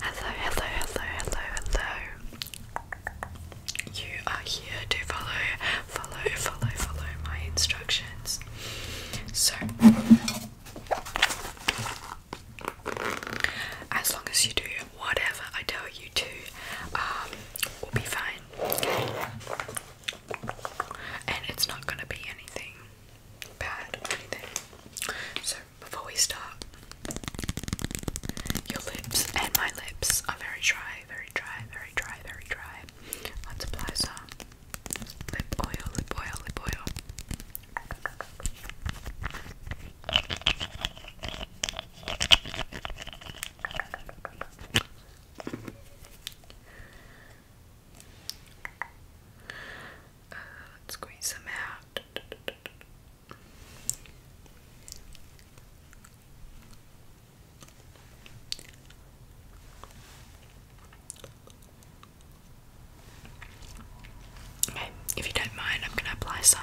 Hello, hello, hello, hello, hello. You are here to follow, follow, follow, follow my instructions. So, as long as you do whatever I tell you to, um, we'll be fine. And it's not gonna be anything bad or anything. So, before we start. Your lips and my lips are very dry, very dry, very dry, very dry. Let's apply some lip oil, lip oil, lip oil. Uh, let's squeeze them out. Okay, if you don't mind, I'm gonna apply some.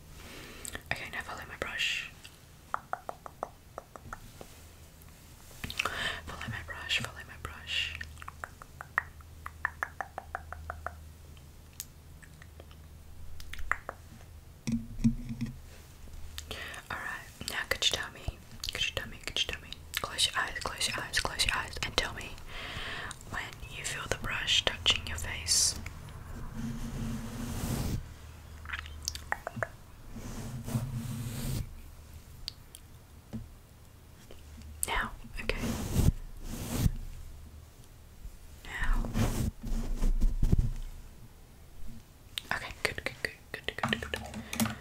Okay, now follow my brush. Follow my brush, follow my brush. Alright, now could you tell me? Could you tell me? Could Close your eyes, close your eyes, close your eyes, and tell me when you feel the brush touching your face. Now, okay. Now. Okay, good, good, good, good, good,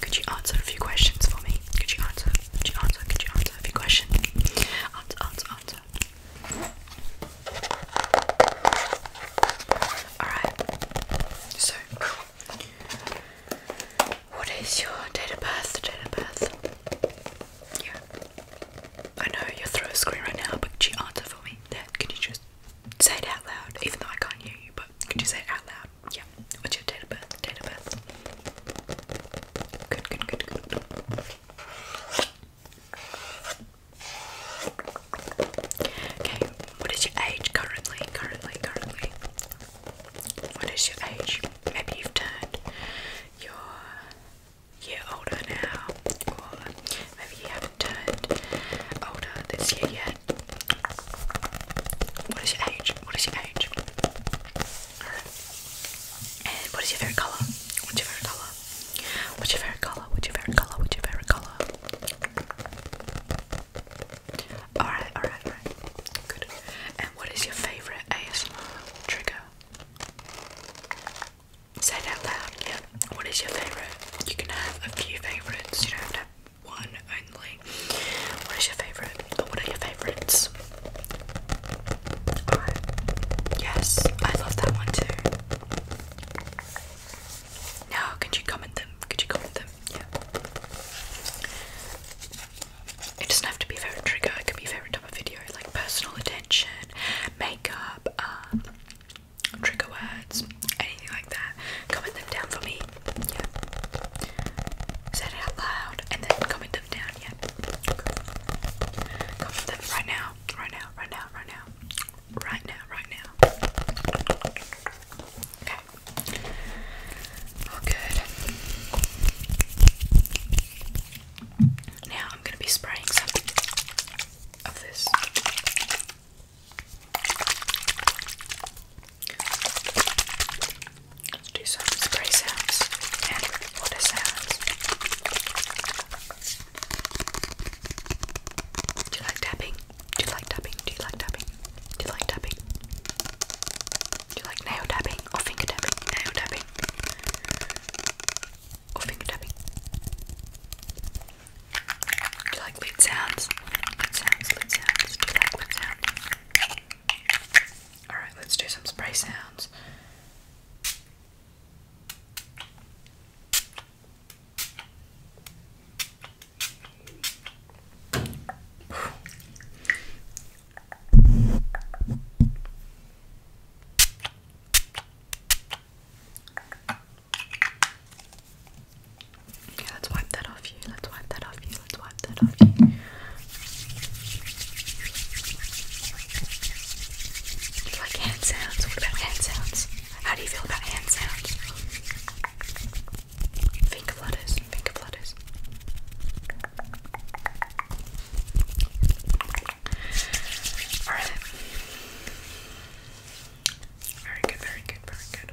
Could you answer a few questions for me? Could you answer? Could you answer? Could you answer a few questions? Alright, so what is your date of birth? Date of birth? Yeah. I know you're through a screen right now, but you answer for me? There, could you just say it out loud? Even though I can't hear you, but could you say it out loud? Yeah. What's your date of birth? Date of birth? Okay, what is your age currently? Currently, currently. What is your age? Maybe you've turned your year older now, maybe you haven't turned older this year yet. What is your age? What is your age? Alright. And what is your favorite color? What's your favorite color? What's your favorite color? What's your favorite color? What's your favorite color? Alright, alright, alright. Good. And what is your favorite ASMR trigger? Say it out loud, yeah. What is your favorite? You can have a few favorites, you don't have to have one what is your favourite? Oh, what are your favourites? Yes, I love that one too. Now could you comment them? Could you comment them? Yeah. It doesn't have to be a trigger, it could be a favourite type of video, like personal attention, makeup, um, trigger words, anything like that. Comment them down for me yeah. Said it out loud and then comment them down. Yeah. Okay. Comment right now. Right now. Right now. Right now. Right now. Right now. Okay. All good. Now I'm gonna be spraying some of this. Let's do some spray sounds and sounds. Do you like tapping? Do you like tapping? Do you like tapping? Do you like tapping? Do you like nail tapping or finger tapping? Nail tapping or finger tapping? Do you like lid sounds? Lid sounds, lid sounds. Do you like lid sounds? Alright, let's do some spray sounds. Yeah, let's wipe that off you. Let's wipe that off you. Let's wipe that off you. you like hand sounds? What about hand sounds? How do you feel about hand sounds? Finger flutters. Finger flutters. Very good, very good, very good.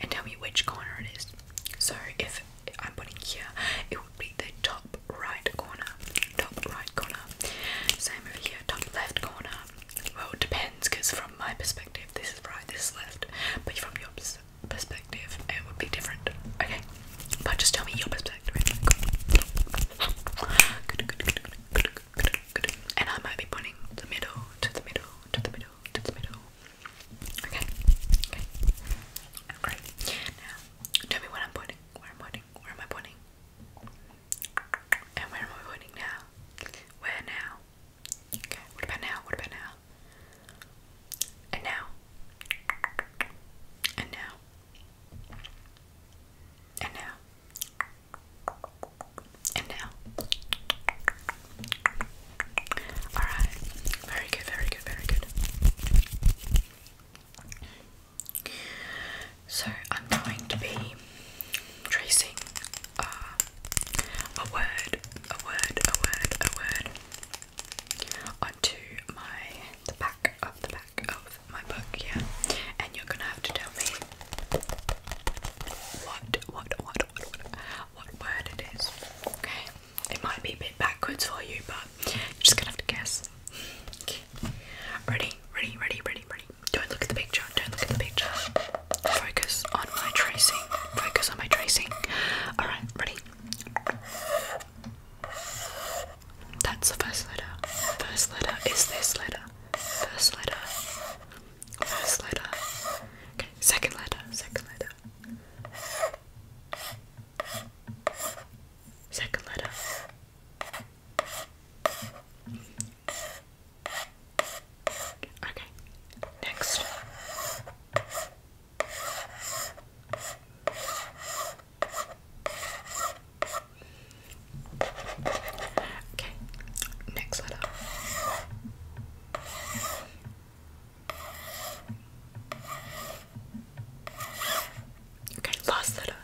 and tell me which corner it is. So if I'm putting here, it would be the top right corner, top right corner. Same over here, top left corner. Well, it depends because from my perspective, this is right, this is left, but from your perspective, it would be different. Okay, but just tell me your perspective. And I might be pointing the middle to the middle to the middle to the middle. Okay. Okay. Great. Now, tell me what I'm pointing. Where I'm pointing. Where am I pointing? And where am I pointing now? Where now? Okay. What about now? What about now? And now. And now. And now and now. Alright, very good, very good, very good. So I'm going to be tracing uh, a word, a word, a word, a word onto my the back of the back of my book, yeah. And you're gonna have to tell me what, what, what, what, what what word it is. Okay, it might be a bit backwards for you, but you're just gonna have to guess. Ready, ready, ready, ready, ready. Don't look at the picture, don't look at the picture. Focus on my tracing. Focus on my tracing. Alright, ready? That's the first letter. First letter is this letter. First letter. First letter. Okay, second letter, second letter. Second letter. Okay, next. Okay, next letter. Okay, last letter.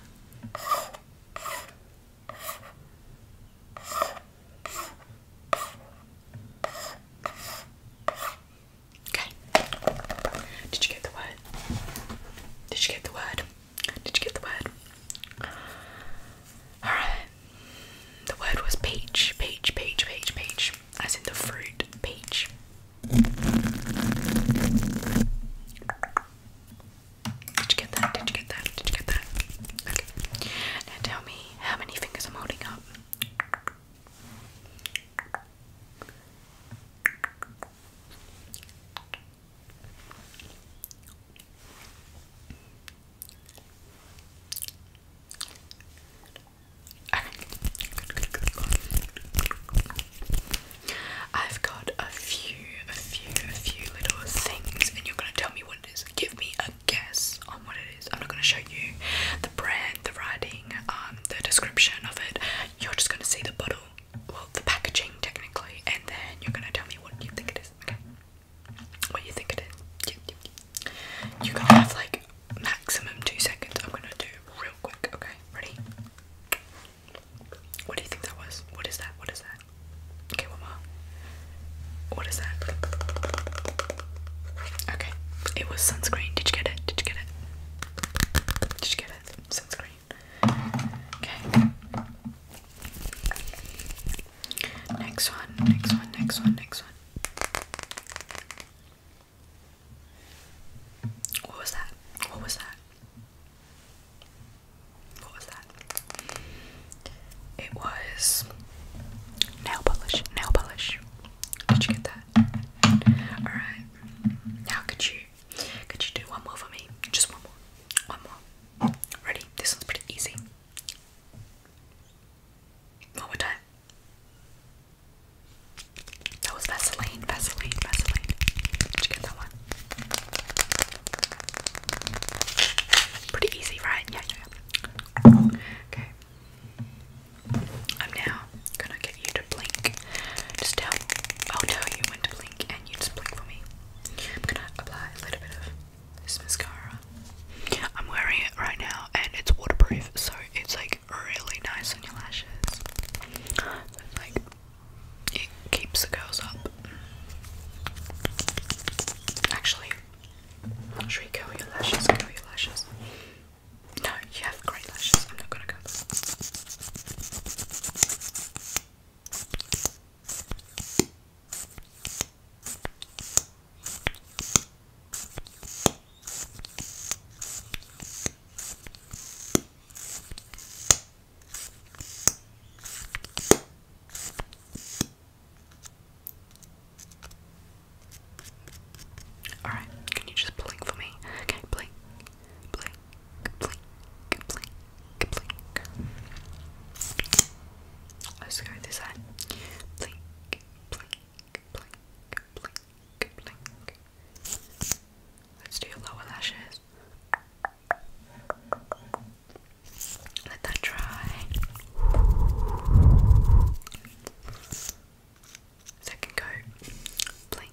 Okay. Did you get the word? Did you get the word? Did you get the word? Alright. The word was peach, peach, peach, peach, peach. As in the fruit peach. Did you get that? Did you get that? Did you get that? Now tell me how many fingers I'm holding up. I've got a few, a few, a few little things, and you're gonna tell me what it is. Give me a guess on what it is. I'm not gonna show you the brand, the writing, um, the description of it. You're just gonna see the bottle, well, the packaging technically, and then you're gonna tell me what you think it is. Okay what you think it is. You, you, have like maximum two seconds. I'm gonna do real quick. Okay, ready? What do you think that was? What is that? What is that? Okay, one more. that? Okay, it was sunscreen. Did you get it? Did you get it? Did you get it? Sunscreen. Okay. Next one, next one, next one, next one. What was that? What was that? What was that? It was nail polish, nail polish. Did you get that? Alright. Now could you could you do one more for me? Just one more. One more. Ready? This one's pretty easy. One more time. That was Vaseline, Vaseline, Vaseline. Did you get that one? Pretty easy, right? Yeah, Okay. I'm now gonna get you to blink. Just tell I'll oh tell you when to blink and you just blink for me. I'm gonna apply a little bit of this mascara. I'm wearing it right now and it's waterproof, so it's like really nice on your lashes. like it keeps the curls up. Actually, should we curl your lashes? Curl your lashes. No, you have great lashes. I'm not gonna curl them. Alright, can you just blink for me? Okay, blink, blink, blink, blink, Let's go this side. Let's do your lower lashes. Let that dry. Second coat.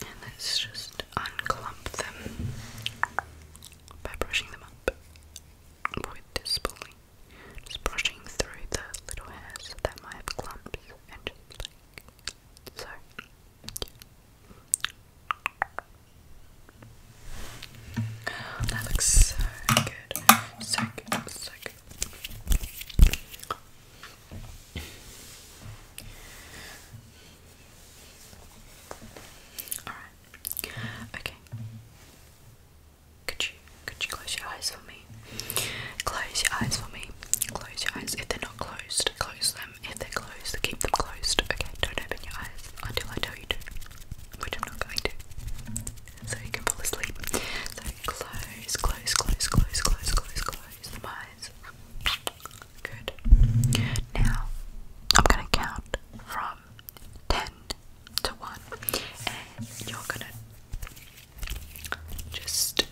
And let's just unclump them by brushing them up with this Just brushing through the little hairs that might have clumps and just like so. That looks so good. So good. So good. Alright. Okay. Could you could you close your eyes for me? Close your eyes for me. Close your eyes. If they're not closed, close them. If they're closed, keep them closed. Okay, don't open your eyes until I tell you to. Which I'm not going to. So you can fall asleep. So close, close, close, close, close, close, close them Good. Now, I'm gonna count from 10 to 1, and you're gonna just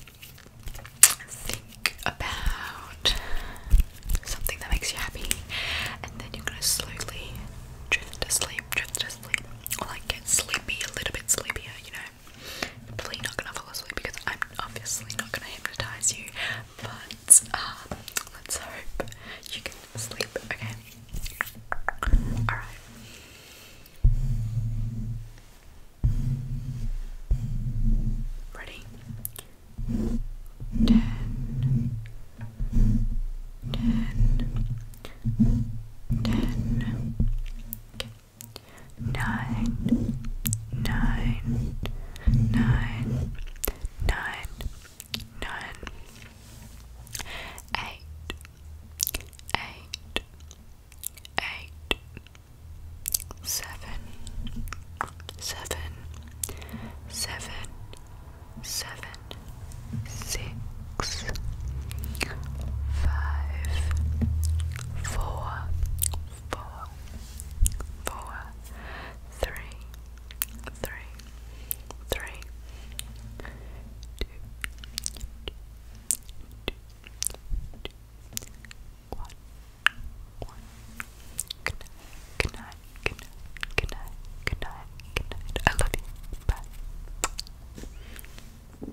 think about something that makes you happy, and then you're gonna slowly drift to sleep, drift to sleep, or like get sleepy, a little bit sleepier, you know. I'm probably not gonna fall asleep because I'm obviously not gonna hypnotize you, but um, let's hope you can sleep, okay? Alright. Ready? Ten. Ten. Ten. Okay nine, nine, nine, nine, nine, eight, eight, eight, seven, seven, seven, seven, six, five, four, four, four, three, three, three, two, two, two, two, one, one. Good night, good night, good night, good night, good night, good night. I love you. Bye.